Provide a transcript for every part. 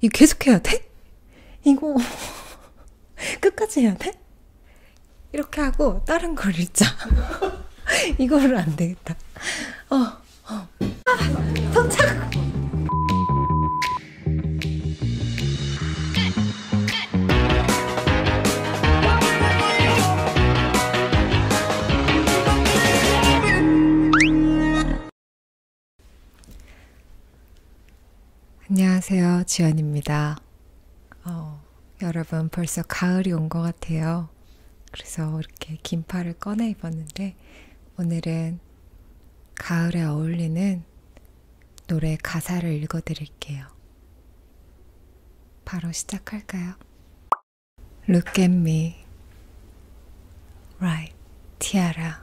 이거 계속 해야 돼? 이거 끝까지 해야 돼? 이렇게 하고 다른 걸 읽자. 이거를 안 되겠다. 어, 어. 아, 도착! 안녕하세요. 지연입니다. 어, 여러분 벌써 가을이 온 것 같아요. 그래서 이렇게 긴팔을 꺼내 입었는데 오늘은 가을에 어울리는 노래 가사를 읽어 드릴게요. 바로 시작할까요? Look at me. Right, Tiara.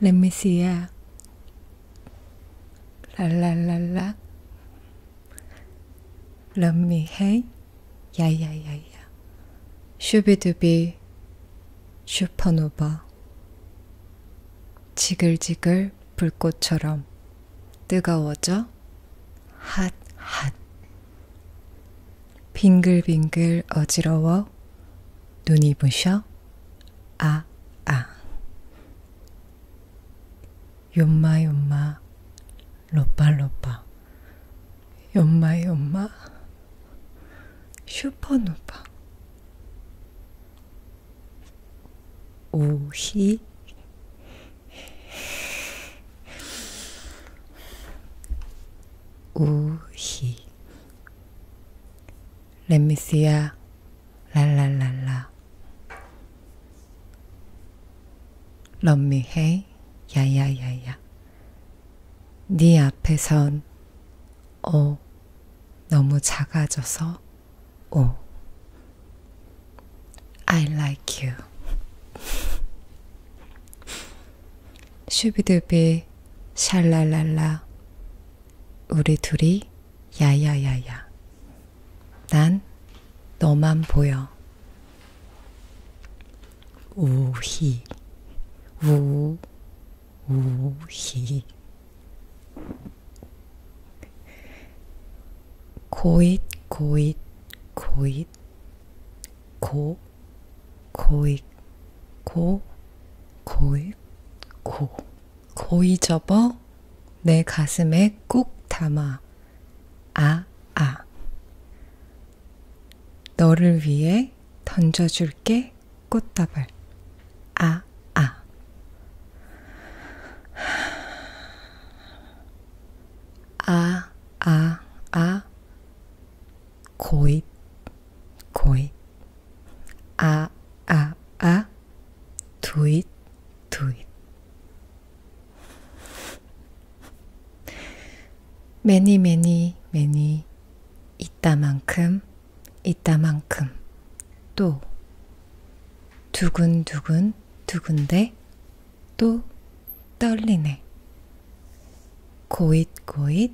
렛미시야 랄랄랄라 럼미헤이 야야야야 슈비두비 슈퍼노바 지글지글 불꽃처럼 뜨거워져 핫 핫 빙글빙글 어지러워 눈이 부셔 아아 아. 요마 아. 요마 로빠 로빠 요마 요마 슈퍼노바 오히 우희 렘미스야 랄랄랄라 럼미헤이 야야야야 네 앞에선 오 너무 작아져서 오 I like you 슈비두비 샬랄랄라 우리 둘이 야야야야 난 너만 보여 우히 우 우히 고잇 고잇 고잇 고 고익 고 고익 고 고이 접어 내 가슴에 꾹 담아 아아 아. 너를 위해 던져줄게 꽃다발 아아 아. 아, 아, 아, 아. 고입, 고입, 아, 아, 아, 두잇, 두잇. 매니, 매니, 매니, 있다만큼, 있다만큼, 또, 두근두근, 두근데, 또, 떨리네. 고잇고잇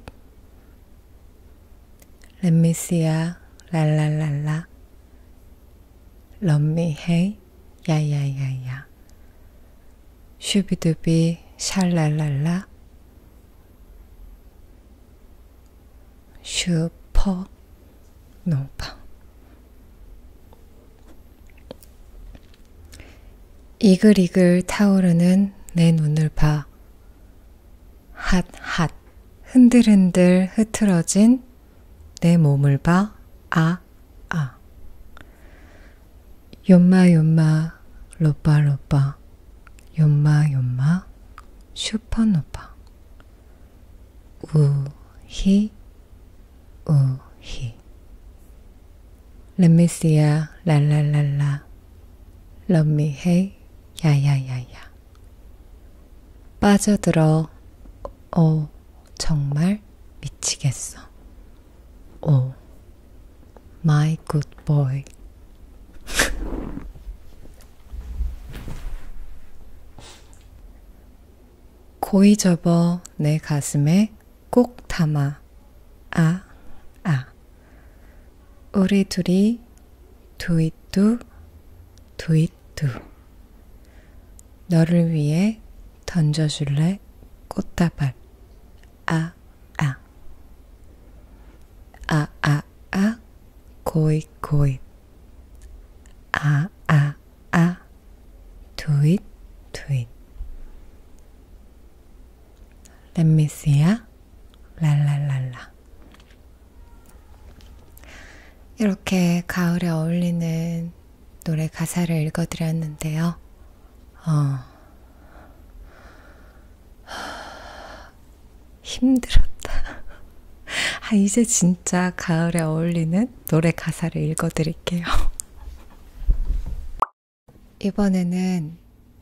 렛미스야 랄랄랄라 럼미헤이 야야야야 슈비두비 샬랄랄라 슈퍼 노바 이글이글 타오르는 내 눈을 봐 핫핫 흔들흔들 흐트러진 내 몸을 봐 아아 아. 연마 연마 로빠 로빠 연마 연마 슈퍼노파 우히 우히 람메시아 랄랄랄라 Love me, hey, 야야야야. 빠져들어, 오, 어, 정말 미치겠어. 오, 어, my good boy. 고이 접어 내 가슴에 꼭 담아. 아, 아. 우리 둘이 두잇두 두잇두 너를 위해 던져줄래 꽃다발 아 아 아아아 아, 고잇 고잇 아아아 아. 두잇 두잇 렛미스야 랄랄랄라. 이렇게 가을에 어울리는 노래 가사를 읽어드렸는데요. 어. 힘들었다. 아, 이제 진짜 가을에 어울리는 노래 가사를 읽어드릴게요. 이번에는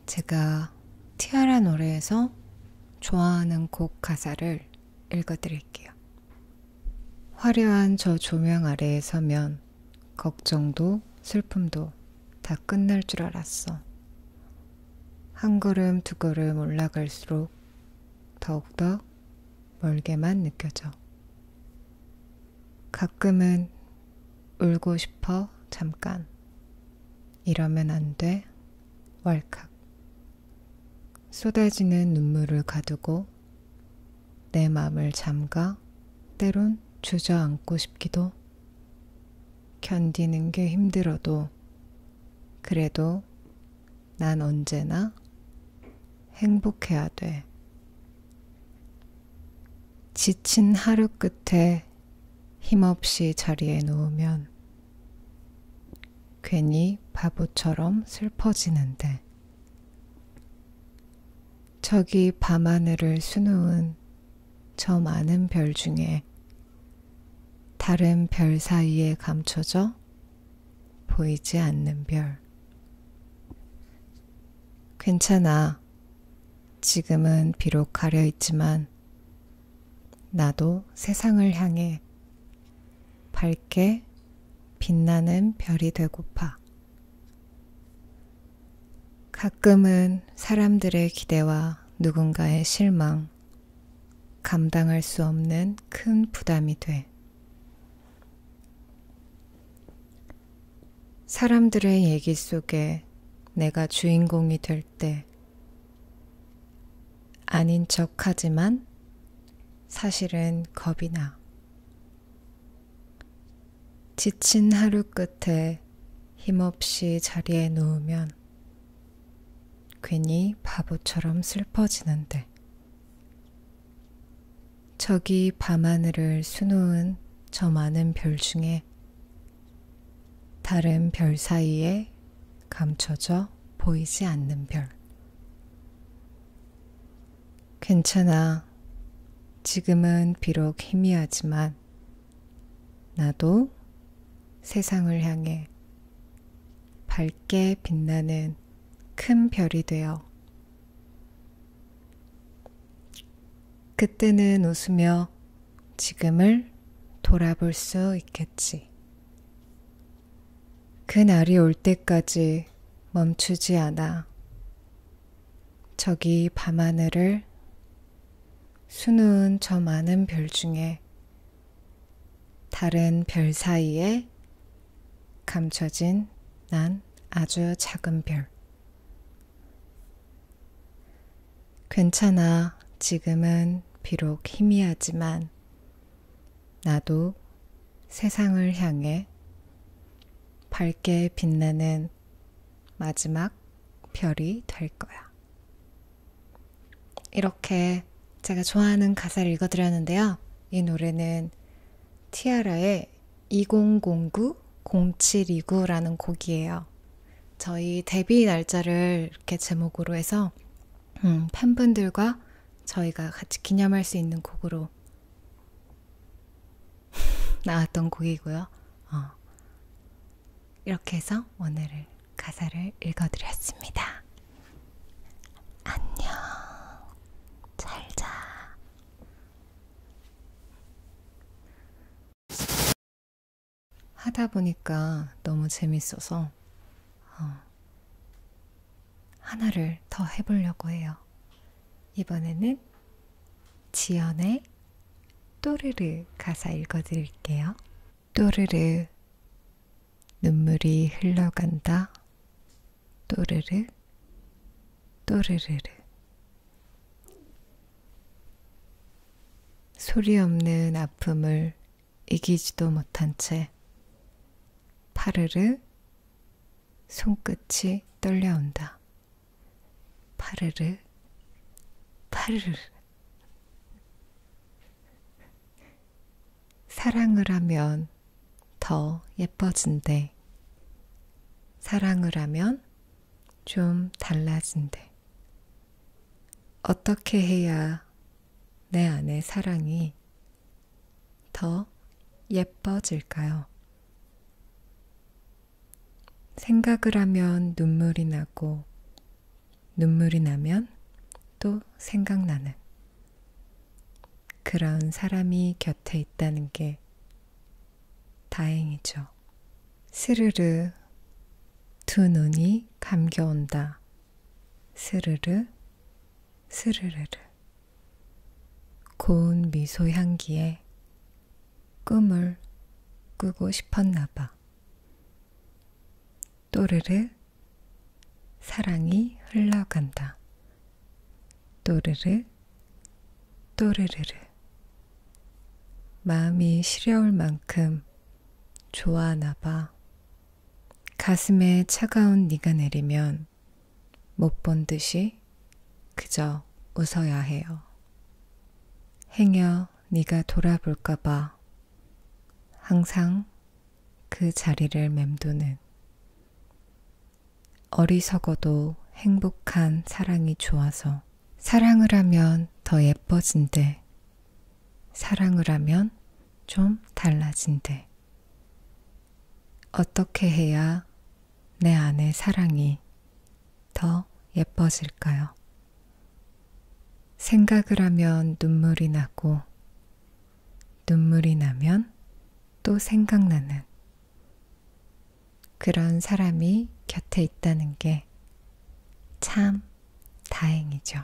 제가 티아라 노래에서 좋아하는 곡 가사를 읽어드릴게요. 화려한 저 조명 아래에 서면 걱정도 슬픔도 다 끝날 줄 알았어. 한 걸음 두 걸음 올라갈수록 더욱더 멀게만 느껴져. 가끔은 울고 싶어, 잠깐. 이러면 안 돼, 왈칵. 쏟아지는 눈물을 가두고 내 맘을 잠가 때론 주저앉고 싶기도 견디는 게 힘들어도 그래도 난 언제나 행복해야 돼. 지친 하루 끝에 힘없이 자리에 누우면 괜히 바보처럼 슬퍼지는데 저기 밤하늘을 수놓은 저 많은 별 중에 다른 별 사이에 감춰져 보이지 않는 별. 괜찮아. 지금은 비록 가려 있지만 나도 세상을 향해 밝게 빛나는 별이 되고파. 가끔은 사람들의 기대와 누군가의 실망, 감당할 수 없는 큰 부담이 돼. 사람들의 얘기 속에 내가 주인공이 될 때, 아닌 척 하지만 사실은 겁이 나. 지친 하루 끝에 힘없이 자리에 누우면 괜히 바보처럼 슬퍼지는데. 저기 밤하늘을 수놓은 저 많은 별 중에 때 다른 별 사이에 감춰져 보이지 않는 별. 괜찮아. 지금은 비록 희미하지만 나도 세상을 향해 밝게 빛나는 큰 별이 되어 그때는 웃으며 지금을 돌아볼 수 있겠지. 그날이 올 때까지 멈추지 않아. 저기 밤하늘을 수놓은 저 많은 별 중에 다른 별 사이에 감춰진 난 아주 작은 별. 괜찮아. 지금은 비록 희미하지만 나도 세상을 향해 밝게 빛나는 마지막 별이 될 거야. 이렇게 제가 좋아하는 가사를 읽어드렸는데요. 이 노래는 티아라의 2009-0729라는 곡이에요. 저희 데뷔 날짜를 이렇게 제목으로 해서 음, 팬분들과 저희가 같이 기념할 수 있는 곡으로 나왔던 곡이고요. 어. 이렇게 해서 오늘을 가사를 읽어드렸습니다. 안녕. 잘 자. 하다 보니까 너무 재밌어서 어, 하나를 더 해보려고 해요. 이번에는 지연의 또르르 가사 읽어드릴게요. 또르르 눈물이 흘러간다. 또르르 또르르르 소리 없는 아픔을 이기지도 못한 채 파르르 손끝이 떨려온다. 파르르 파르르 사랑을 하면 더 예뻐진대. 사랑을 하면 좀 달라진대. 어떻게 해야 내 안의 사랑이 더 예뻐질까요? 생각을 하면 눈물이 나고, 눈물이 나면 또 생각나는 그런 사람이 곁에 있다는 게 다행이죠. 스르르 두 눈이 감겨온다. 스르르 스르르르 고운 미소 향기에 꿈을 꾸고 싶었나봐. 또르르 사랑이 흘러간다. 또르르 또르르르 마음이 시려울 만큼 좋아하나 봐. 가슴에 차가운 네가 내리면 못 본 듯이 그저 웃어야 해요. 행여 네가 돌아볼까 봐 항상 그 자리를 맴도는 어리석어도 행복한 사랑이 좋아서 사랑을 하면 더 예뻐진대. 사랑을 하면 좀 달라진대. 어떻게 해야 내 안의 사랑이 더 예뻐질까요? 생각을 하면 눈물이 나고, 눈물이 나면 또 생각나는 그런 사람이 곁에 있다는 게 참 다행이죠.